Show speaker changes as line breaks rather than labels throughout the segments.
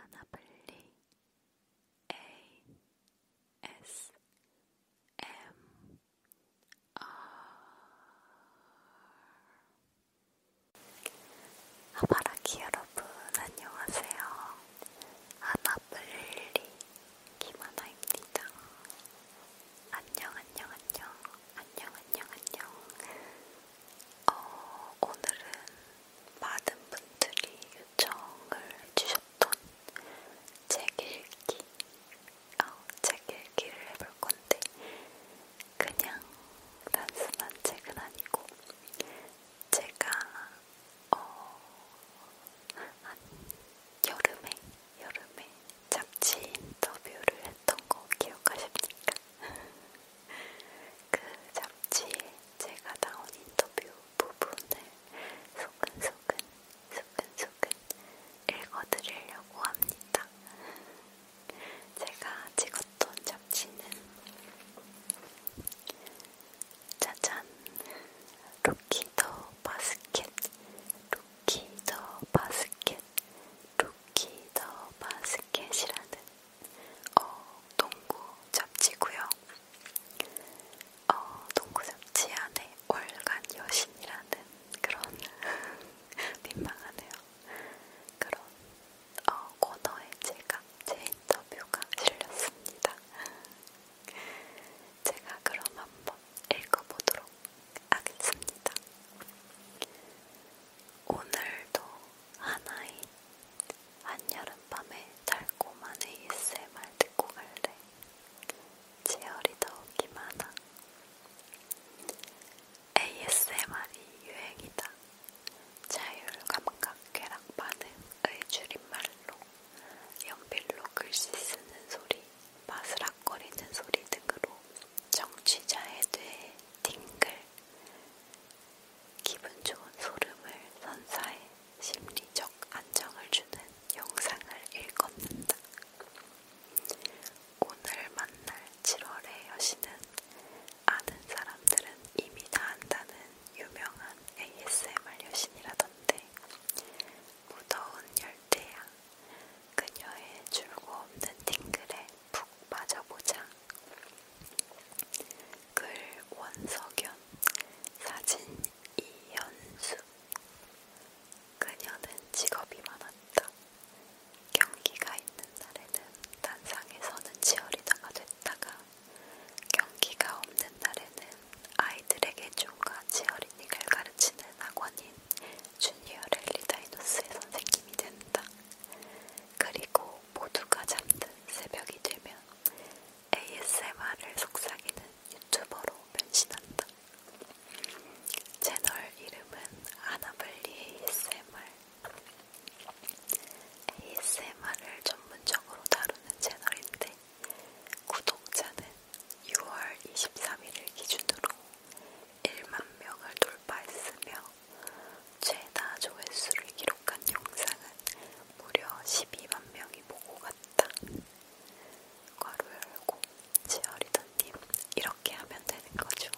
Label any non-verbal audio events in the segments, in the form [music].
하나블리 A S M R 하바라기 아, 여러분 안녕하세요. 하나블리 김하나입니다. 안녕 안녕 안녕 안녕 안녕 안녕 어, 오늘은 많은 분들이 요청을 해주셨던 책 읽기, 어, 책 읽기를 해볼 건데, 그냥 단순한 책은 아니고, 제가 어, 한 여름에, 여름에 잡지 인터뷰를 했던 거 기억하십니까? [laughs] 그 잡지에 제가 나온 인터뷰 부분을 소근소근 소근소근 읽어드리려고 합니다. 제가 찍었던 잡지는 짜잔! 루키 더 바스켓 루키 더 바스켓 루키 더 바스켓이라는 어, 동구 잡지고요. 어, 동구 잡지 안에 월간 여신이라는 그런 [laughs] 민망하네요. 그런 어, 코너에 제가 제 인터뷰가 실렸습니다. [laughs] 제가 그럼 한번 읽어보도록 하겠습니다. 오늘도 하나의 한여름밤의 달콤한 ASMR 듣고 갈래 제열이 더 오기만 하 ASMR이 유행이다 자율감각 쾌락 반응의 줄임말로 연필로 글씨 쓰는 소리, 바스락거리는 소리 등으로 정취자에 대해 팅글, 기분 좋은 소름을 선사해 심리적 안정을 주는 영상을 읽어낸다. 오늘 만날 7월의 여신은 아는 사람들은 이미 다 안다는 유명한 ASMR 여신이라던데 무더운 열대야, 그녀의 줄고 없는 팅글에 푹 맞아보자. 글 원석연, 사진 이현수. 그녀는 직업이 많았다. 경기가 있는 날에는 단상에서는 치어리더가 됐다가 경기가 없는 날에는 아이들에게 춤과 치어리닝을 가르치는 학원인 주니어 랠리 다이노스의 선생님이 된다. 그리고 모두가 잠든 새벽이 되면 ASMR을 속삭이는 유튜버로 변신한다. 채널 이름은 아나블리 ASMR. ASMR을 전문적으로 다루는 채널인데 구독자는 6월 23일을 기준으로 1만 명을 돌파했으며 최다 조회수를 기록한 영상은 무려 12만 명이 보고 갔다. 괄호 열고 지어리더님 이렇게 하면 되는 거죠.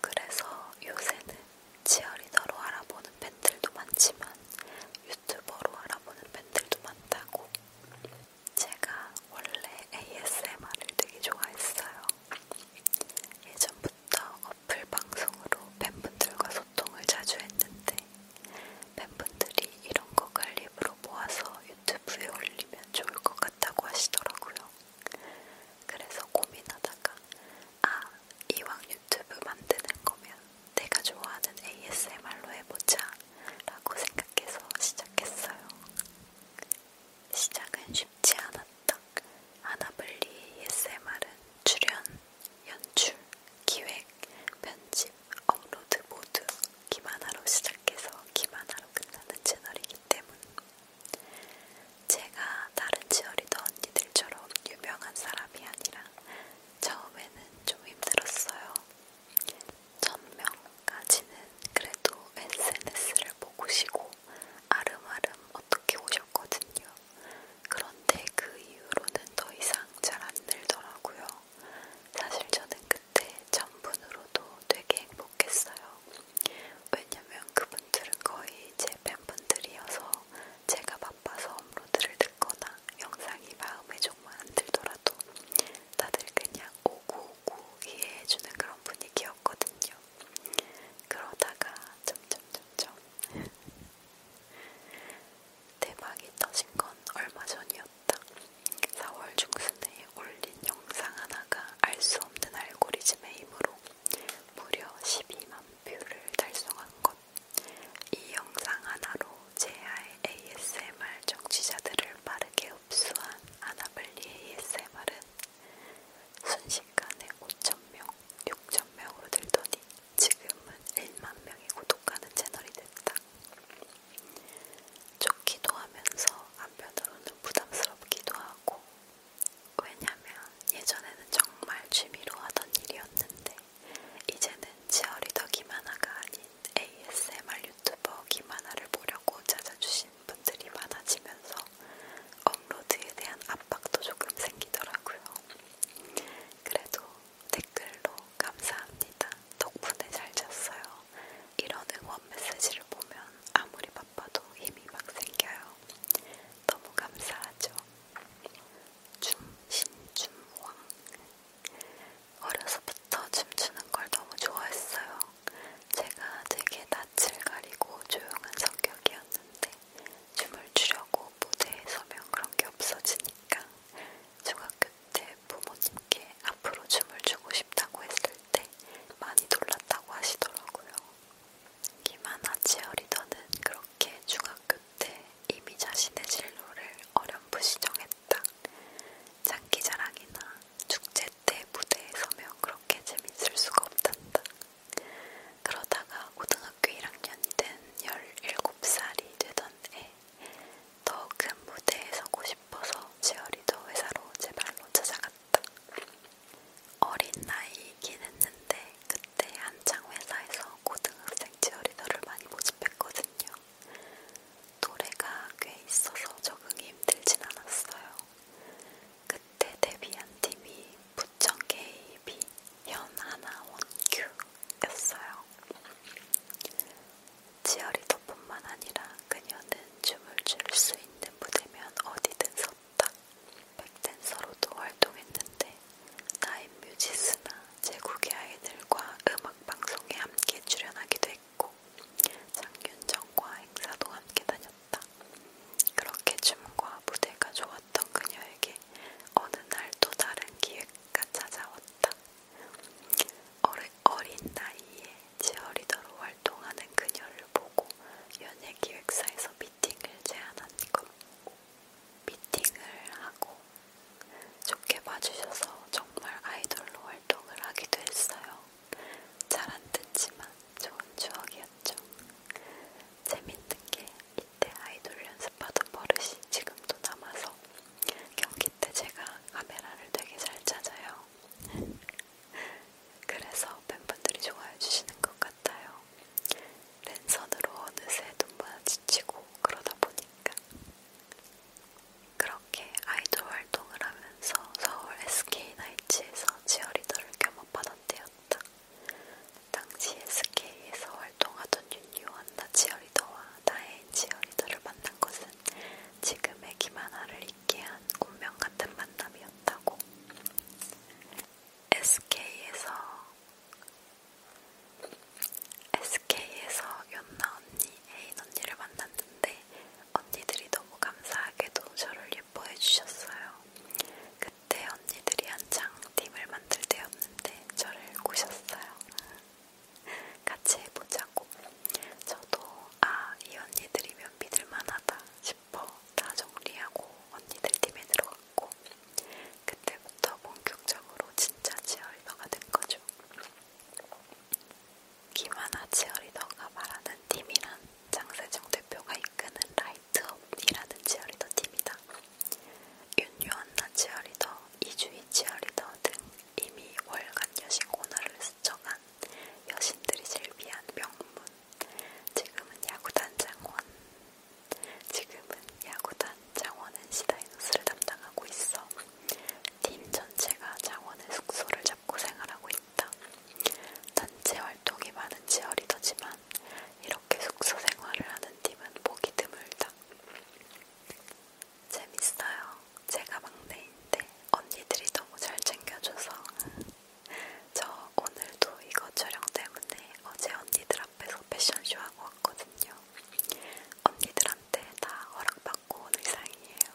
그래서 요새는 지어리더로 알아보는 팬들도 많지만 유튜버로 알아보는 팬들도 많다고 제가 원래 ASMR을 되게 좋아했어요. 예전부터 어플 방송으로 팬분들과 소통을 자주 했는데 팬분들이 이런 거 관립으로 모아서 유튜브에 올리면 좋을 것 같다고 하시더라고요. 그래서 고민하다가 아, 이왕 유튜브 만드는 거면 내가 좋아하는 ASMR로 해보자 라고 생각했어요. 생각해서 시작했어요. 시작은 쉽지 않았다. 아나블리 ASMR은 출연, 연출, 기획, 편집, 업로드 모두 기만화로 시작해서 기만화로 끝나는 채널이기 때문 제가 다른 치어리더 언니들처럼 유명한 사람이 아니라 처음에는 좀 힘들었어요. 1000명까지는 그래도 SNS를 보고시고 아름아름 어떻게 오셨거든요. 그런데 그 이후로는 더 이상 잘안 늘더라고요. 사실 저는 그때 1000분으로도 되게 행복했어요. 왜냐면 그분들은 거의 제 팬분들이어서 제가 바빠서 업로드를 듣거나 영상이 마음에 조금 안 들더라도 다들 그냥 오구오구 이해해주는 그런 분위기였거든요. 그러다가 점점 점점 [laughs] 대박이 터진 건 얼마 전이었다. 4월 중순에 올린 영상 하나가 알 수 없는 알고리즘의 힘으로 무려 12만 뷰를 달성한 것. 이 영상 하나로 제아의 ASMR 정치자들을 빠르게 흡수한 아나블리 ASMR은 순식간에 5,000명, 6,000명으로 늘더니 지금은 1만 명이 구독하는 채널이 됐다. 좋기도 하면서 한편으로는 부담스럽기도 하고 왜냐면 예전에는 정말 취미로 하던 일이었는데 이제는 치어리더 김하나가 아닌 ASMR 유튜버 김하나를 보려고 찾아주신 분들이 많아지면서 업로드에 대한 압박도 조금 생기더라고요. 그래도 댓글로 감사합니다. 덕분에 잘 잤어요. 이런 응원 메시지를 보면 아무리 바빠도 힘이 막 생겨요. 너무 감사하죠. 춤신춤왕 어려서부터 춤추는 걸 너무 좋아했어요. 제가 되게 낯을 가리고 조용한 성격이었는데 춤을 추려고 무대에 서면 그런 게 없어지니까 중학교 때 부모님께 앞으로 춤을 추고 싶다고 했을 때 많이 놀랐다고 하시더라고요. 김하나 치어리더는 그렇게 중학교 때 이미 자신의 진로를 어렴풋이 정했 재밌다. 장기 자랑이나 축제 때 무대에 서면 그렇게 재밌을 수가 없단다. 그러다가 고등학교 1학년이 된 17살이 되던 해, 더큰 무대에 서고 싶어서 지어리더 회사로 제 발로 찾아갔다. 어린 나이이긴 했는데, 그때 한창 회사에서 고등학생 지어리더를 많이 모집했거든요. 노래가 꽤 있어서 적응이 힘들진 않았어요. 그때 데뷔한 팀이 부천 KB 현하나 원큐였어요. 치어리더뿐만 아니라 그녀는 춤을 출 수 있는 무대면 어디든 섰다. 백댄서로도 활동했는데 나인뮤지스나 제국의 아이들과 음악방송에 함께 출연하기도 했고 장윤정과 행사도 함께 다녔다. 그렇게 춤과 무대가 좋았던 그녀에게 어느 날 또 다른 기회가 찾아왔다. 어리, 어린 나이에 지어리더로 활동하는 그녀를 보고 연예기획사에서 미팅을 제안한 것. 미팅을 하고 좋게 봐주셔서 정말 아이돌로 활동을 하기도 했어요. 잘 안 듣지만 좋은 추억이었죠. 재밌는 게 이때 아이돌 연습하던 버릇이 지금도 남아서 경기 때 제가 카메라를 되게 잘 찾아요. [laughs] 그래서 팬분들이 좋아해 주시는 것 같아요. 랜선으로 어느새 눈만 지치고 그러다 보니까 그렇게 아이돌 활동을 하면서 서울 SK나이츠에서 치어리더를 겸업하던 때였다. 당시 SK에서 활동하던 윤유원나 치어리더와 나의 치어리더를 만난 것은 지금의 김하나를 있게 한 운명 같은 만남이었다고. SK에서 SK에서 연나 언니, 애인 언니를 만났는데 언니들이 너무 감사하게도 저를 예뻐해 주셨어요. 그때 언니들이 한창 팀을 만들 때였는데 저를 꼬셨어요. 같이 해보자고. 저도 아, 이 언니들이면 믿을만하다 싶어 다 정리하고 언니들 팀에 들어갔고 그때부터 본격적으로 진짜 치어리더가 된 거죠. 있죠. 김하나 치어리더가 말하는 팀이란 장세정 대표가 이끄는 라이트업이라는 치어리더 팀이다. 윤유한나 치어리더, 이주희 치어리더 등 이미 월간 여신 코너를 스쳐간 여신들이 즐비한 명문. 지금은 야구단장원, 지금은 야구단 장원은 시다이노스를 담당하고 있어. 팀 전체가 장원의 숙소를 잡고 생활하고 있다. 단체 활동이 많은 지어리더지만 이렇게 숙소 생활을 하는 팀은 보기 드물다. 재밌어요. 제가 막내인데 언니들이 너무 잘 챙겨줘서. 저 오늘도 이거 촬영 때문에 어제 언니들 앞에서 패션쇼 하고 왔거든요. 언니들 한 저한테 다 허락받고 온 의상이에요.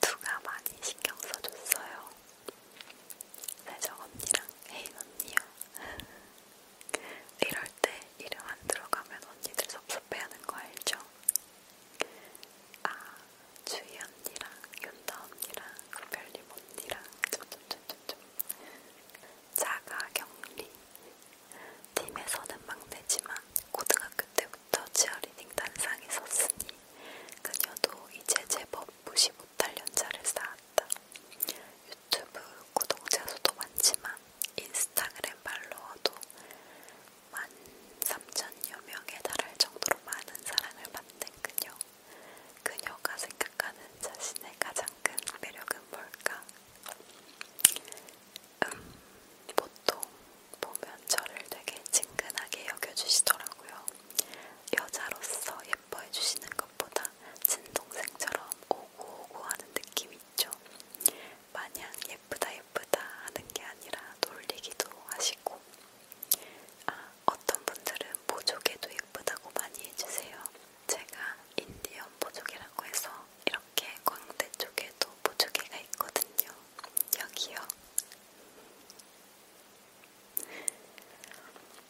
누가 많이 신경 써줬어요. 세정 언니랑 혜인 언니요. 이럴 때 이름 안 들어가면 언니들 섭섭해하는 거 알죠? 아, 주희 언니랑 윤다 언니랑 별님 언니랑 좀, 좀, 좀, 좀, 좀. 자가 격리. 팀에서는 막내지만 고등학교 때부터 치어리닝 단상에 섰으니 그녀도 이제 제법 무시 못할 연차를 쌓았다. 유튜브 구독자 수도 많지만 인스타그램 팔로워도 13,000여 명에 달할 정도로 많은 사랑을 받는 그녀. 그녀가 생각하는 자신의 가장 큰 매력은 뭘까? 음, 보통 보면 저를 되게 친근하게 여겨주시더라고요. 여자로서 예뻐해주시는 것보다 친동생처럼 오구오구 하는 느낌 있죠. 마냥 예쁘다 예쁘다 하는 게 아니라 놀리기도 하시고, 아, 어떤 분들은 보조개도 예쁘다고 많이 해주세요. 제가 인디언 보조개라고 해서 이렇게 광대 쪽에도 보조개가 있거든요. 여기요.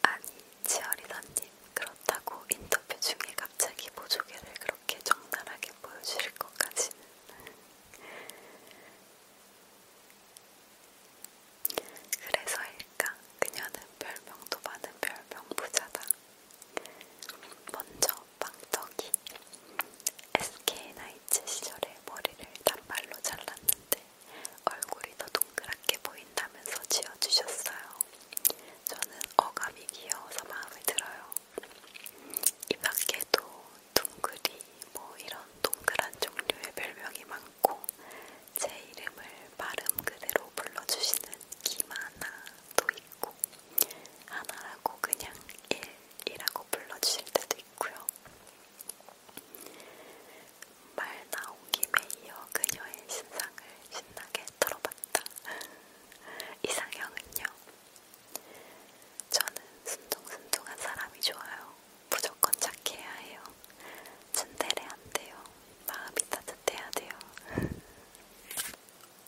아니, 지어리더님 그렇다고 인터뷰 중에 갑자기 보조개를 그렇게 적나라하게 보여주실 것까지는. 그래서일까 그녀는 별명도 많은 별명 부자다. 먼저 빵떡이 SK나이츠 시절에 머리를 단발로 잘랐는데 얼굴이 더 동그랗게 보인다면서 지어주셨어요. 저는 어감이 귀여워서 마음에 들어요. 이 밖에도 둥그리 뭐 이런 동그란 종류의 별명이 많고 않고 제 이름을 발음 그대로 불러주시는 김하나도 있고 하나라고 그냥 일이라고 불러주실 때도 있고요. 말 나온 김에 이어 그녀의 신상을 신나게 털어봤다. [laughs] 이상형은요? 저는 순둥순둥한 사람이 좋아요. 무조건 착해야 해요. 츤데레한테요. 마음이 따뜻해야 돼요.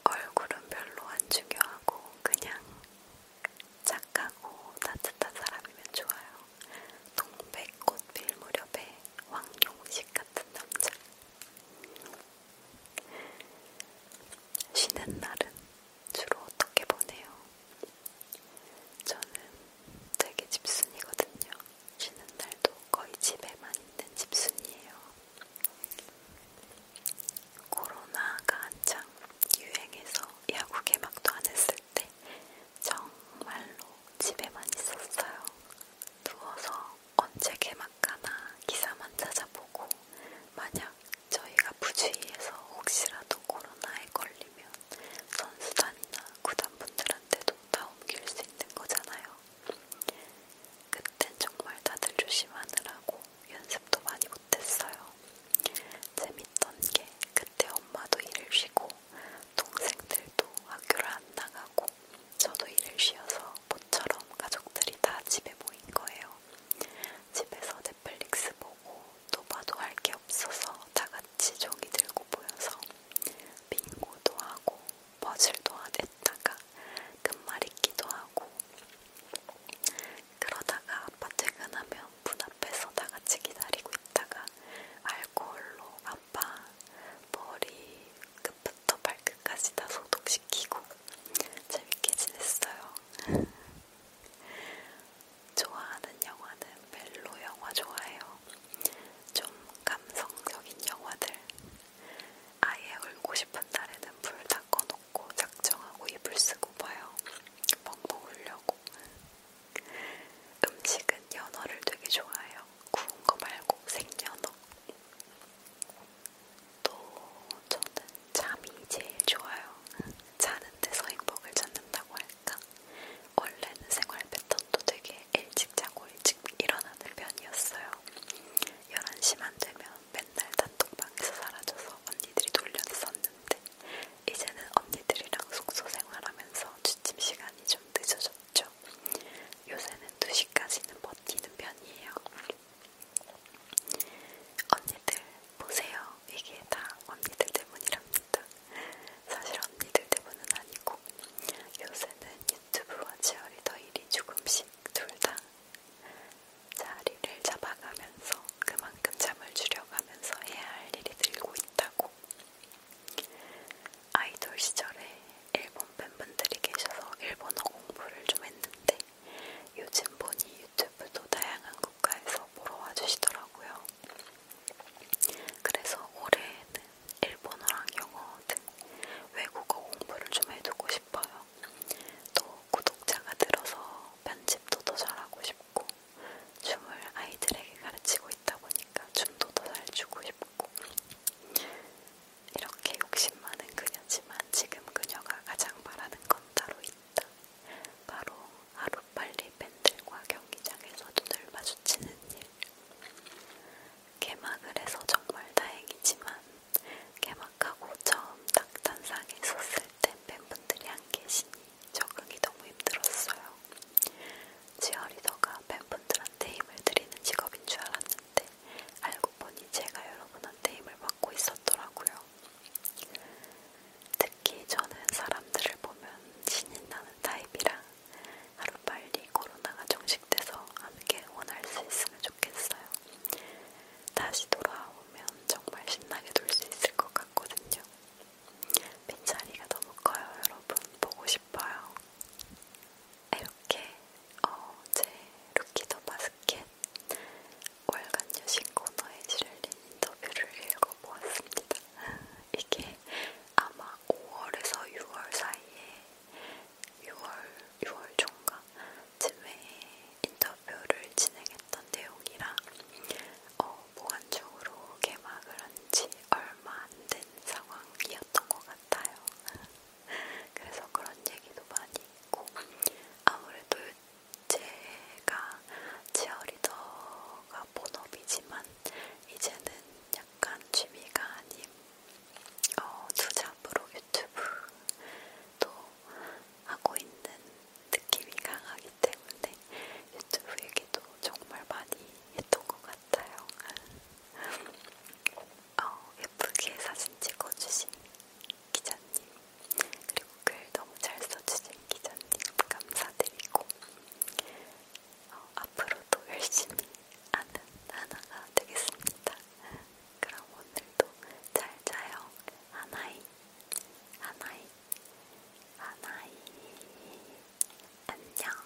얼굴은 별로 안 중요하고 그냥 착하고 따뜻한 사람이면 좋아요. 동백꽃 필 무렵에 왕용식 같은 남자. 쉬는 날은 주로 어떻게 보내요? 저는 되게 집순이거든요. 쉬는 날도 거의 집에만 있는 집순이에요. 코로나가 한창 유행해서 야구 개막도 안 했을 때 정말로 집에만 있었어요. 누워서 언제 개막하나 기사만 찾아보고 만약 저희가 부주의해서 혹시라도 코로나에 걸리면 선수단이나 구단분들한테도 다 옮길 수 있는 거잖아요. 그땐 정말 다들 조심하느라고 연습도 많이 못했어요. 재밌던 게 그때 엄마도 일을 쉬고 동생들도 학교를 안 나가고 저도 일을 쉬어서 모처럼 가족들이 다 집에 모인 거예요. 집에서 넷플릭스 보고 또 봐도 할 게 없어서 다 같이 종이 들고 모여서 빙고도 하고 버즐도 했다가 끝말잇기도 하고 그러다가 아빠 퇴근하면 문 앞에서 다 같이 기다리고 있다가 알코올로 아빠 머리 끝부터 발끝까지 다 소독시키고 재밌게 지냈어요. [laughs] 좋아하는 영화는 멜로 영화 좋아해요. 좀 감성적인 영화들 아예 울고 싶은 날에는 불다 꺼놓고 작정하고 이불 쓰고 봐요. 펑펑 울려고. 음식은 연어를 되게 좋아해요. 구운 거 말고 생연어. 또 저는 잠이 제일 좋아요. 자는 데서 행복을 찾는다고 할 보니까 원래는 생활 패턴도 되게 일찍 자고 일찍 일어나는 편이었어요. 11시만 되면 맨날 단톡방에서 사라져서 언니들이 돌렸었는데 이제는 언니들이랑 숙소 생활하면서 취침 시간이 좀 늦어졌죠. 요새는 2시까지는 버티는 편이에요. 언니들 보세요. 이게 다 언니들 때문이랍니다. 사실 언니들 대부분은 아니고 요새는 유튜브와 치어리더 일이 조금씩 둘 다 자리를 잡아가면서 그만큼 잠을 줄여가면서 해야 할 일이 늘고 있다고 아이돌 시절에 일본 팬분들이 계셔서 일본어 공부를 좀 했는데 요즘 보니 유튜브도 다양한 국가에서 보러 와주시더라고요. 그래서 올해에는 일본어랑 영어 등 외국어 공부를 좀 해두고 싶어요. 또 구독자가 늘어서 편집도 더 잘하고 싶고 춤을 아이들에게 가르치고 있다 보니까 춤도 더 잘 추고 싶고 이렇게 욕심 많은 그녀지만 지금 그녀가 가장 바라는 건 따로 있다. 바로 하루빨리 저희 팬들과 경기장에서도 늘 마주치는 일. 개막을 해서 정말 다행이지만 개막하고 처음 딱단상에 섰을 땐 팬분들이 안 계시니 적응이 너무 힘들었어요. 지어리더가 팬분들한테 힘을 드리는 직업인 줄 알았는데 알고 보니 제가 여러분한테 힘을 받고 있었더라고요. 특히 저는 사람들을 보면 신이 나는 타입이라 하루빨리 코로나가 종식돼서 함께 원할 수 있으면 좋겠어요. 다시 돌아오면 정말 신나게 놀 수 있을 것 같거든요. 빈자리가 너무 커요, 여러분. 보고 싶어요. 이렇게 어, 제 루키더 바스켓 월간 여신 코너에 실린 인터뷰를 읽어보았습니다. [laughs] 이게 아마 5월에서 6월 사이에 6월 6월 종가 쯤에 인터뷰를 진행했던 내용이라 어, 보완적으로 개막을 한지 얼마 안 된 상황이었던 것 같아요. [laughs] 그래서 그런 얘기도 많이 있고 아무래도 제가 치어리더가 취미가 아, 본업이지만 이제는 약간 취미가 아닌 어, 투잡으로 유튜브도 하고 있는 느낌이 강하기 때문에 유튜브 얘기도 정말 많이 했던 것 같아요. 어, 예쁘게 사진 찍어주신 기자님, 그리고 글 너무 잘 써주신 쌤, 기자님 감사드리고 어, 앞으로도 열심히 하는 하나가 되겠습니다. 그럼 오늘도 잘 자요. 하나이, 하나이, 하나이. 안녕.